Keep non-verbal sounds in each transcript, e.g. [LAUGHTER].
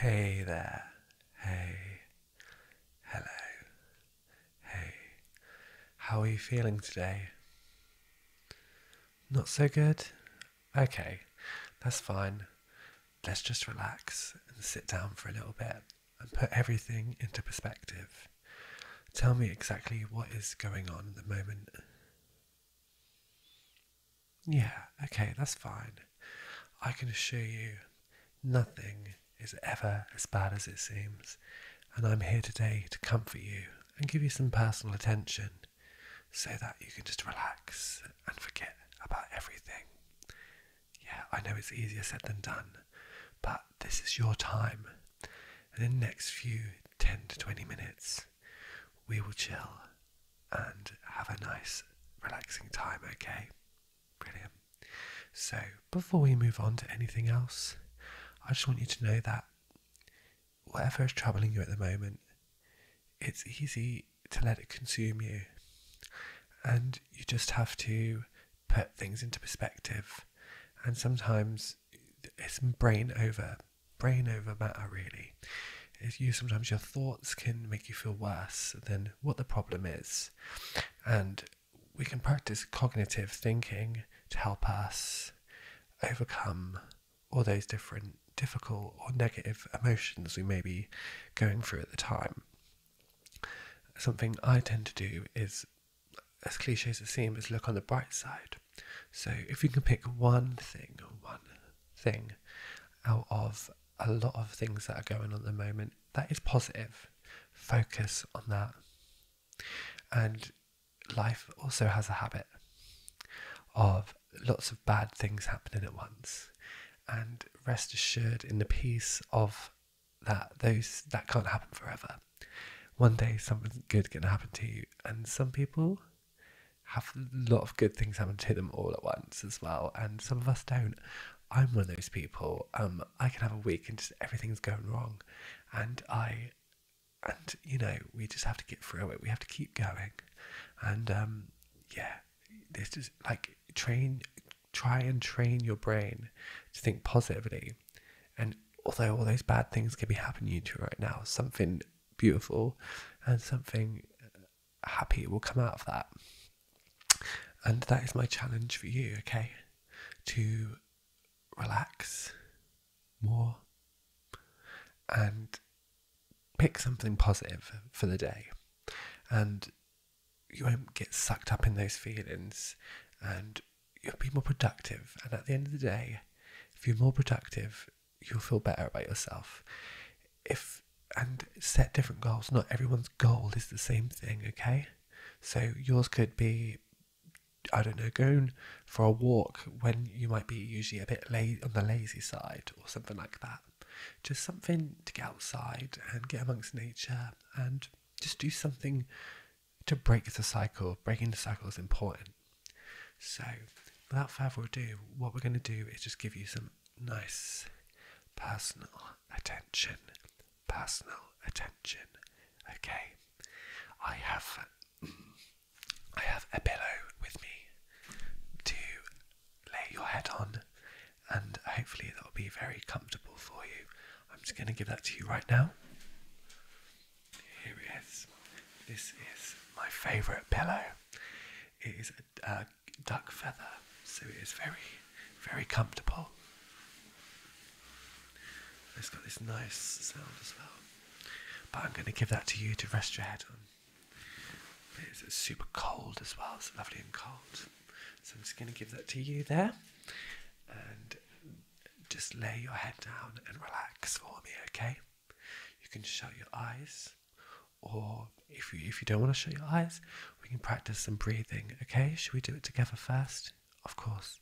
Hey there, hey, hello, hey, how are you feeling today? Not so good? Okay, that's fine. Let's just relax and sit down for a little bit and put everything into perspective. Tell me exactly what is going on at the moment. Yeah, okay, that's fine. I can assure you, nothing is ever as bad as it seems, and I'm here today to comfort you and give you some personal attention so that you can just relax and forget about everything. Yeah, I know it's easier said than done, but this is your time. And in the next few 10 to 20 minutes, we will chill and have a nice, relaxing time, okay? Brilliant. So, before we move on to anything else, I just want you to know that whatever is troubling you at the moment, it's easy to let it consume you. And you just have to put things into perspective. And sometimes it's brain over, brain over matter, really you sometimes your thoughts can make you feel worse than what the problem is. And we can practice cognitive thinking to help us overcome all those different difficult or negative emotions we may be going through at the time. Something I tend to do is, as cliche as it seems, is look on the bright side. So if you can pick one thing, one thing out of a lot of things that are going on at the moment that is positive. Focus on that. And life also has a habit of lots of bad things happening at once. And rest assured in the peace of that those that can't happen forever. One day something good can happen to you and some people have a lot of good things happen to them all at once as well. And some of us don't. I'm one of those people. Um, I can have a week and just everything's going wrong, and I, and you know, we just have to get through it. We have to keep going, and um, yeah, this is like train, try and train your brain to think positively, and although all those bad things can be happening to you right now, something beautiful, and something happy it will come out of that. And that is my challenge for you, okay? To relax more and pick something positive for the day. And you won't get sucked up in those feelings and you'll be more productive. And at the end of the day, if you're more productive, you'll feel better about yourself. If and set different goals. Not everyone's goal is the same thing, okay? So yours could be I don't know, going for a walk when you might be usually a bit late on the lazy side or something like that. Just something to get outside and get amongst nature and just do something to break the cycle. Breaking the cycle is important. So, without further ado, what we're going to do is just give you some nice personal attention. Personal attention. Okay. I have I have a pillow with me to lay your head on and hopefully that'll be very comfortable for you. I'm just going to give that to you right now. Here it is. This is my favourite pillow. It is a, uh, duck feather, so it is very, very comfortable. It's got this nice sound as well. But I'm going to give that to you to rest your head on. it's super cold as well, it's lovely and cold. So I'm just going to give that to you there. And just lay your head down and relax for me, okay? You can shut your eyes, or if you if you don't want to shut your eyes, we can practice some breathing. Okay, should we do it together first? Of course.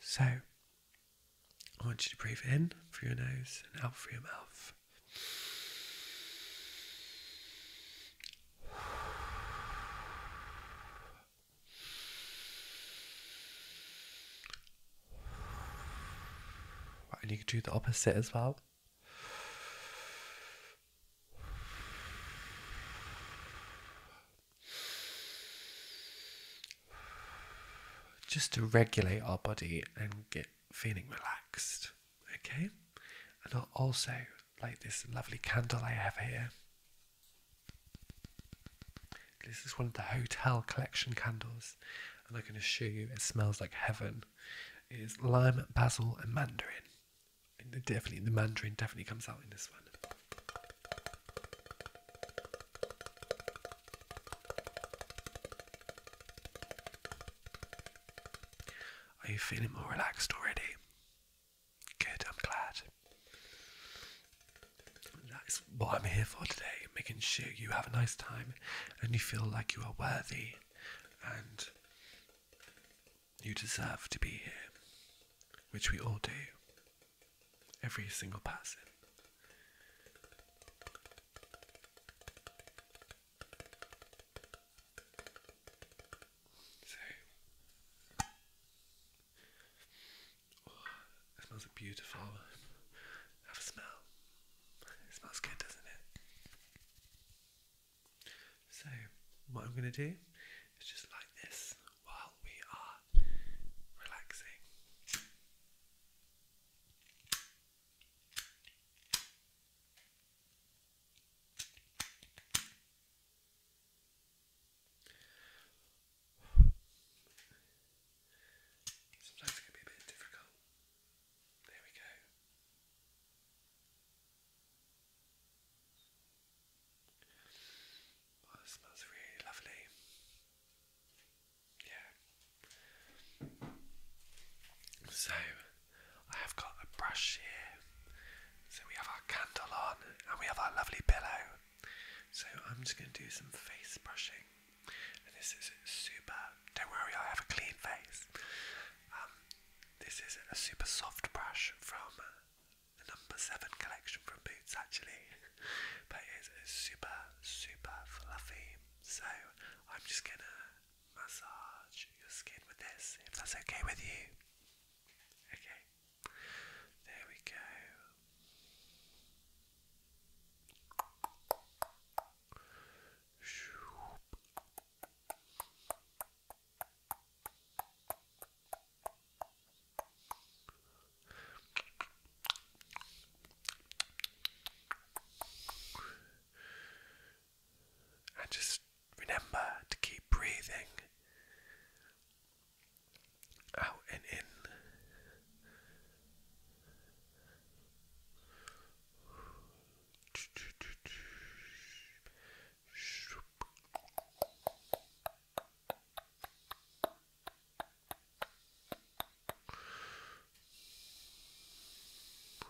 So I want you to breathe in through your nose and out through your mouth. and you can do the opposite as well just to regulate our body and get feeling relaxed. Okay? And I'll also like this lovely candle I have here. This is one of the hotel collection candles, and I can assure you it smells like heaven is lime, basil, and mandarin. definitely, the mandarin definitely comes out in this one. Are you feeling more relaxed already? Good, I'm glad. That's what I'm here for today making sure you have a nice time and you feel like you are worthy and you deserve to be here, which we all do, every single person. So, oh, it smells beautiful. Have a smell smells good, doesn't it? So, what I'm going to do is just like this while we are relaxing. Sometimes it can be a bit difficult there we go. Oh, that smells really lovely. Yeah. So, I have got a brush here. So, we have our candle on and we have our lovely pillow. So, I'm just going to do some face brushing this is super. Don't worry, I have a clean face. Um, this is a super soft brush from uh, the number seven collection from Boots, actually, [LAUGHS] but it's super, super fluffy. So I'm just gonna massage your skin with this, if that's okay with you. Okay, there we go. And just remember to keep breathing out and in.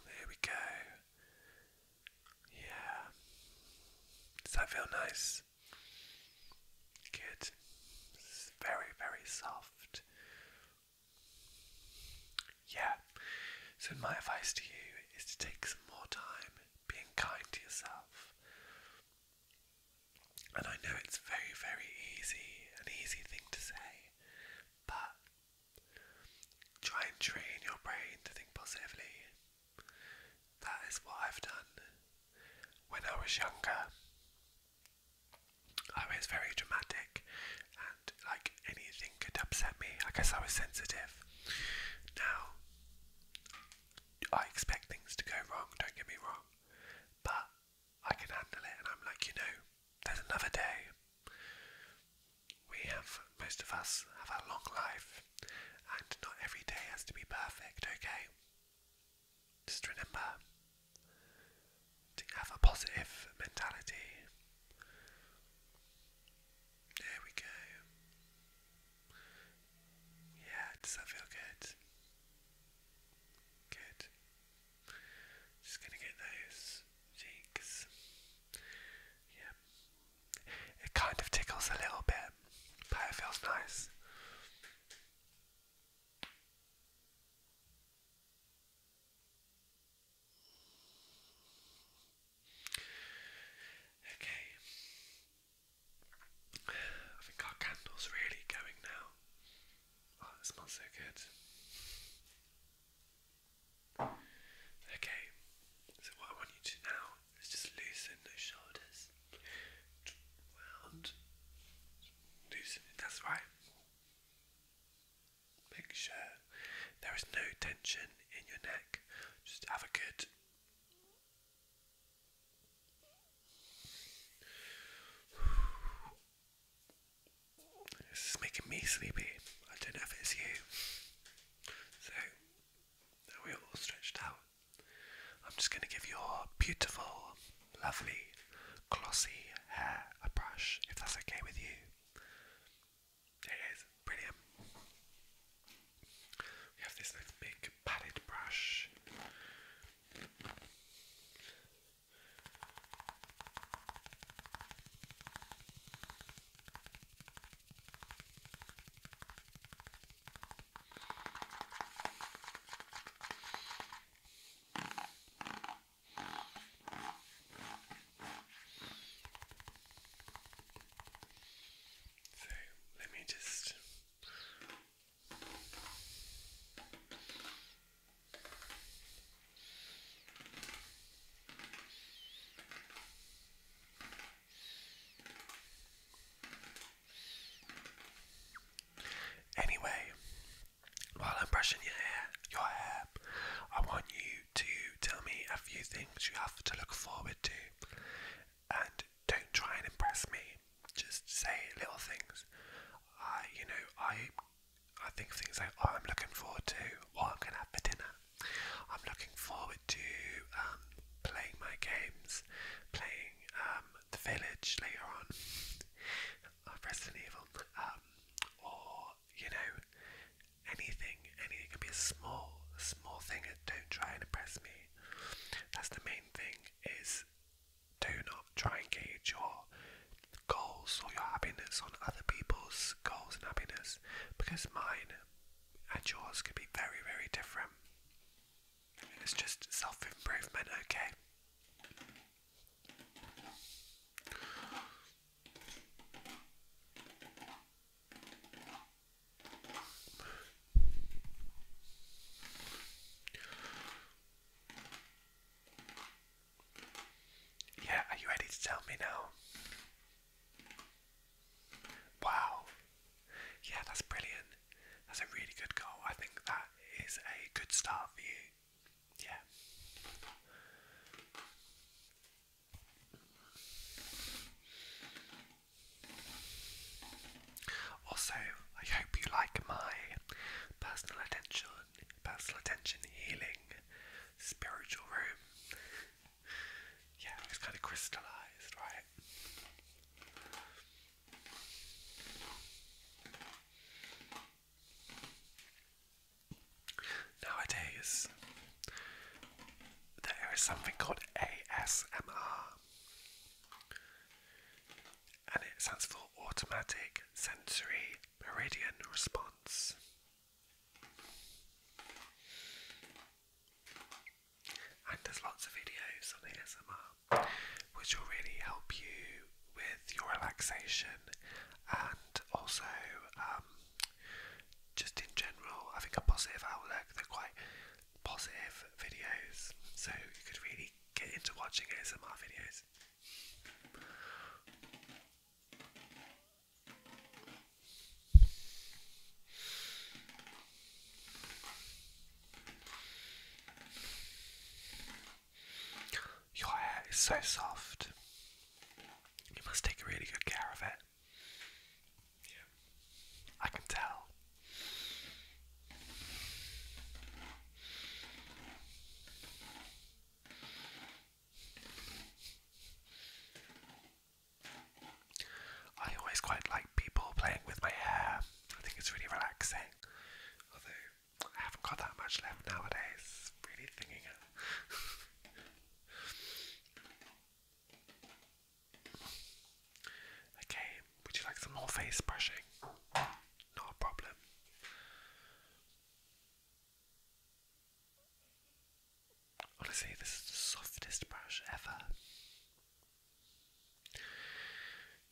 There we go. Yeah. Does that feel nice? Good. very, very soft. Yeah, so my advice to you is to take some more time being kind to yourself. And I know it's very, very easy, an easy thing to say, but try and train your brain to think positively. That is what I've done. When I was younger, I was very dramatic and like anything could upset me. I guess I was sensitive. Now, I expect things to go wrong, don't get me wrong, but I can handle it and I'm like, you know, there's another day. We have, most of us have a long life and not every day has to be perfect, okay? Just remember to have a positive mentality. There we go. Yeah, does that feel good? Good. Just gonna get those cheeks. Yeah. It kind of tickles a little bit, but it feels nice. Okay. I think our candle's really going now. Oh, that smells so good. Okay, so what I want you to now is just loosen those shoulders. Round. Loosen that's right. Make sure there is no tension in your neck. Just have a good. This is making me sleepy. I don't know if it's you. So, now we're all stretched out. I'm just going to give you a beautiful lovely glossy hair a brush, if that's okay with you. It is brilliant. We have this nice big padded brush. So let me just Anyway, while I'm brushing your hair, your hair, I want you to tell me a few things you have to look forward to. And don't try and impress me. Just say little things. I, you know, I, I think of things like, oh, I'm looking forward to what I'm gonna have for dinner. I'm looking forward to um, playing my games, playing um, the village later on of Resident Evil, um, or you know, anything, anything. It could be a small, small thing. Don't try and impress me. That's the main thing. Is do not try and gauge your goals or your happiness on other people's goals and happiness, because mine and yours could be very, very different. It's just self improvement, okay? Yeah, are you ready to tell me now? Wow. Yeah, that's brilliant. That's a really good goal. I think that is a good start for you yeah. Also, I hope you like my personal attention, personal attention healing spiritual room. yeah, it's kind of crystallized, right? Nowadays, there is something called ASMR, and it stands for Automatic Sensory Meridian Response. And there's lots of videos on ASMR which will really help you with your relaxation and also um, just in general having a positive outlook. They're quite positive videos, so you could really get into watching ASMR videos. Your hair is so soft. You must take really good care of it. Yeah. I can tell. I always quite like people playing with my hair. I think it's really relaxing. Although I haven't got that much left nowadays. Really thinking [LAUGHS] okay, would you like some more face brushing? Not a problem. Honestly, this is the softest brush ever.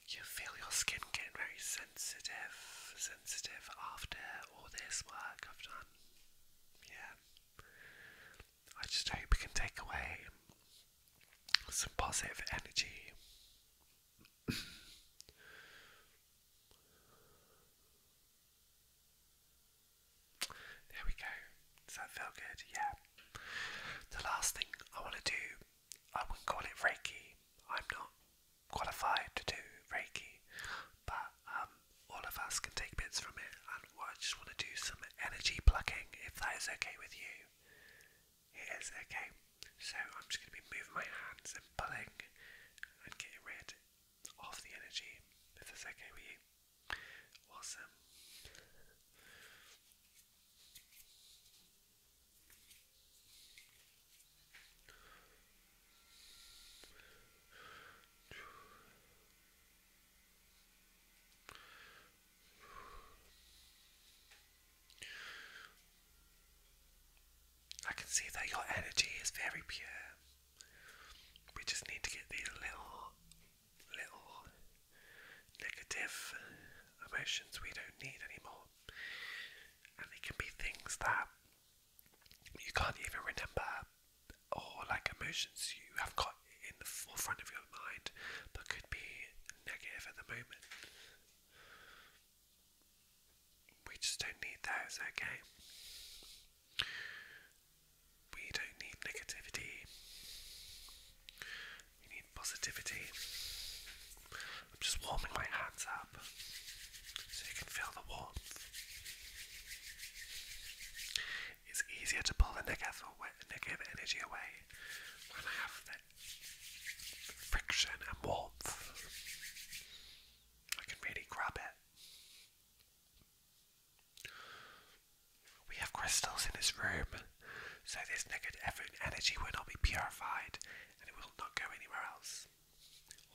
You feel your skin getting very sensitive, sensitive after all this work I've done. Yeah. I just hope we can take away some positive energy. there we go. Does that feel good? Yeah. The last thing I want to do I wouldn't call it Reiki. I'm not qualified to do Reiki, but um, all of us can take bits from it. And I just want to do some energy plucking, if that is okay with you. It is okay. So I'm just going to be moving my hands and pulling and getting rid of the energy, if that's okay with you. Awesome. I can see that your energy is very pure. We just need to get these little, little negative emotions we don't need anymore. And it can be things that you can't even remember, or like emotions you have got in the forefront of your mind but could be negative at the moment. We just don't need those, okay? We don't need negativity. You need positivity. I'm just warming my hands up so you can feel the warmth. It's easier to pull the negative, negative energy away when I have the friction and warmth. I can really grab it. We have crystals in this room. So this negative energy will not be purified and it will not go anywhere else.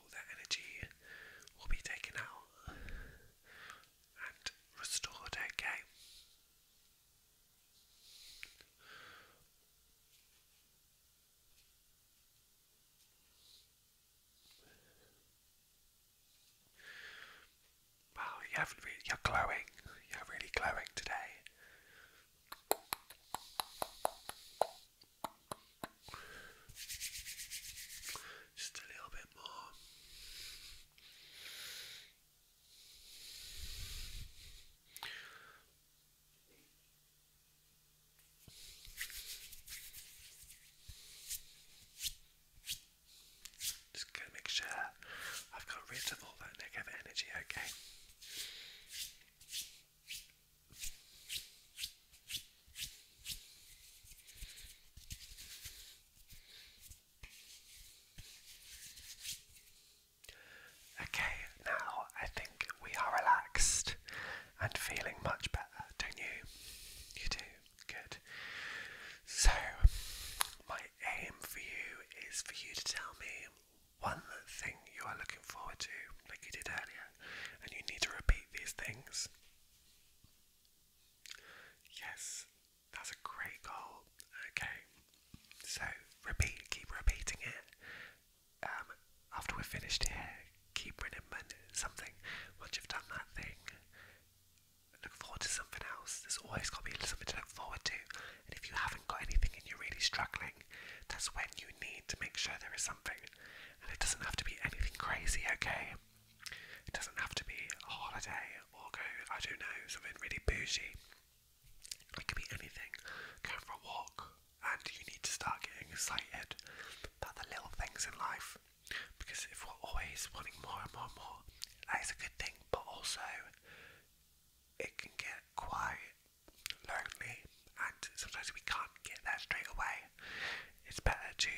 All that energy will be taken out and restored, okay? Wow, you're glowing. You're really glowing today. Just a little bit more. Just gonna make sure I've got rid of all that negative energy, okay? Okay, now I think we are relaxed and feeling much better, don't you? You do. Good. So, my aim for you is for you to tell me one thing you are looking forward to, like you did earlier, and you need to repeat these things. Yes, that's a great goal. Okay, so repeat, keep repeating it. Um, after we're finished here, keep remembering something. Once you've done that thing, look forward to something else. There's always got to be something to look forward to. And if you haven't got anything and you're really struggling, that's when you need to make sure there is something. And it doesn't have to be anything crazy, okay? It doesn't have to be a holiday or go, I don't know, something really bougie. It could be anything. Going for a walk, and you need to start getting excited about the little things in life. Because if we're always wanting more and more and more, that is a good thing, but also it can get quiet, lonely, and sometimes we can't get there straight away. It's better to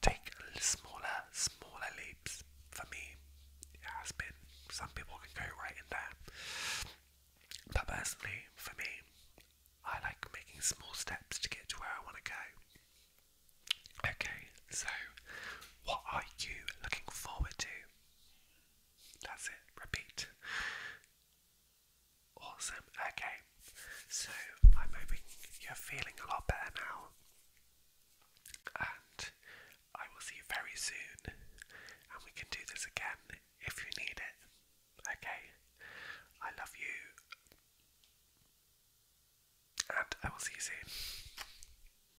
take smaller, smaller leaps. For me, it has been. Some people can go right in there. But personally, for me, I like making small steps to get to where I want to go. Okay, so what are you looking forward to? That's it, repeat. Awesome, okay. So I'm hoping you're feeling a lot better now. And I will see you very soon. And we can do this again if you need it. Okay? I love you. And I will see you soon.